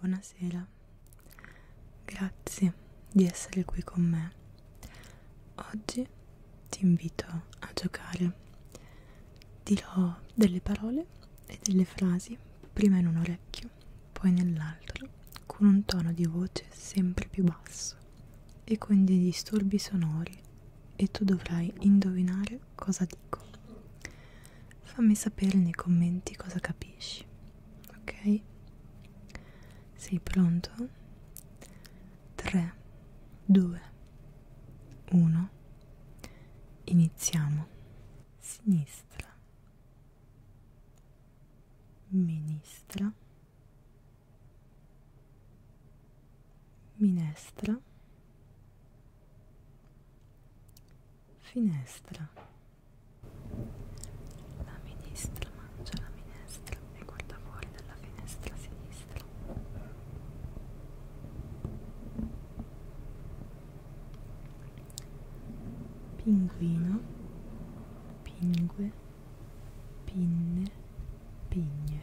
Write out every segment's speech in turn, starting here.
Buonasera, grazie di essere qui con me. Oggi ti invito a giocare. Dirò delle parole e delle frasi prima in un orecchio, poi nell'altro, con un tono di voce sempre più basso e con dei disturbi sonori e tu dovrai indovinare cosa dico fammi sapere nei commenti cosa capisci ok sei pronto 3 2 1 iniziamo sinistra ministra minestra Finestra. La ministra mangia la minestra e guarda fuori dalla finestra sinistra. Pinguino, pingue, pinne, pigne.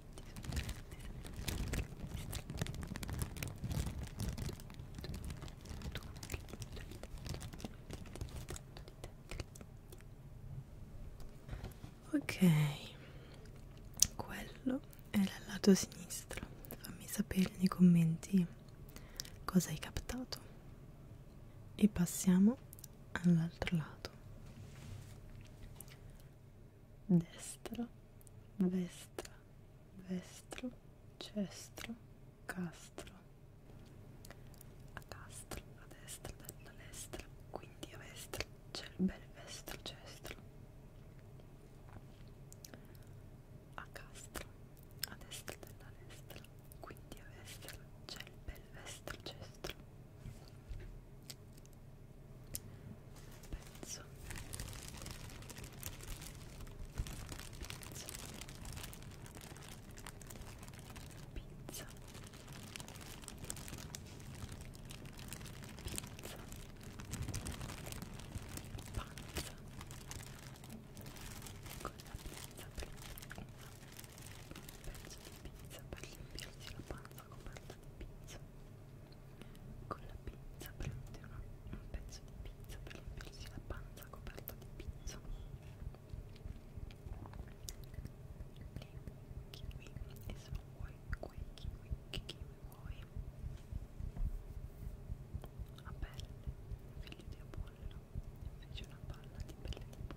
Ok, quello era il lato sinistro. Fammi sapere nei commenti cosa hai captato. E passiamo all'altro lato destra, vestra, vestro, cestro, castro. A castro, a destra, dalla destra, quindi a vestra c'è il bel vestro cestro. A castro, a destra, dalla destra, quindi a vestra c'è il bel vestro cestro. Penso. Penso. Pizza. Pizza. Panza. Con la pizza per un pezzo di pizza per riempirsi la panza sta comprando la pizza con la pizza prende una, un pezzo di pizza per riempirsi la panza coperta di pizza lì kiwi e se non vuoi quei kiwi che kiwi vuoi a pelle figlio di Apollo fece una palla di pelle di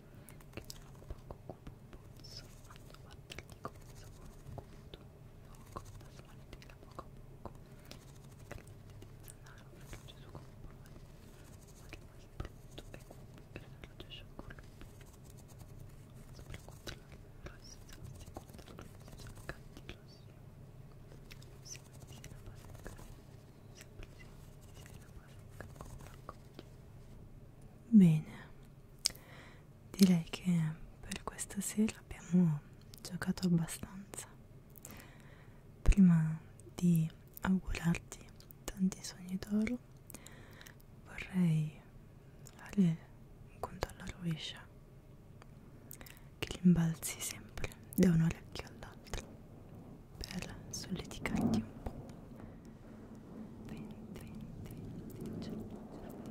che non ha poco cubo puzzo quando guarda il dico pensa poco cubo poco da smaltire poco poco l'anaro l'orologio su compo ma che poi brutto e cubo e l'orologio sciocco sopra contro l'orologio si contro l'orologio cattivo si mette la base sempre si la Bene, direi che per questa sera abbiamo giocato abbastanza. Prima di augurarti tanti sogni d'oro, vorrei fare un conto alla rovescia che rimbalzi sempre da un orecchio all'altro per solleticarti un po'. Diciotto,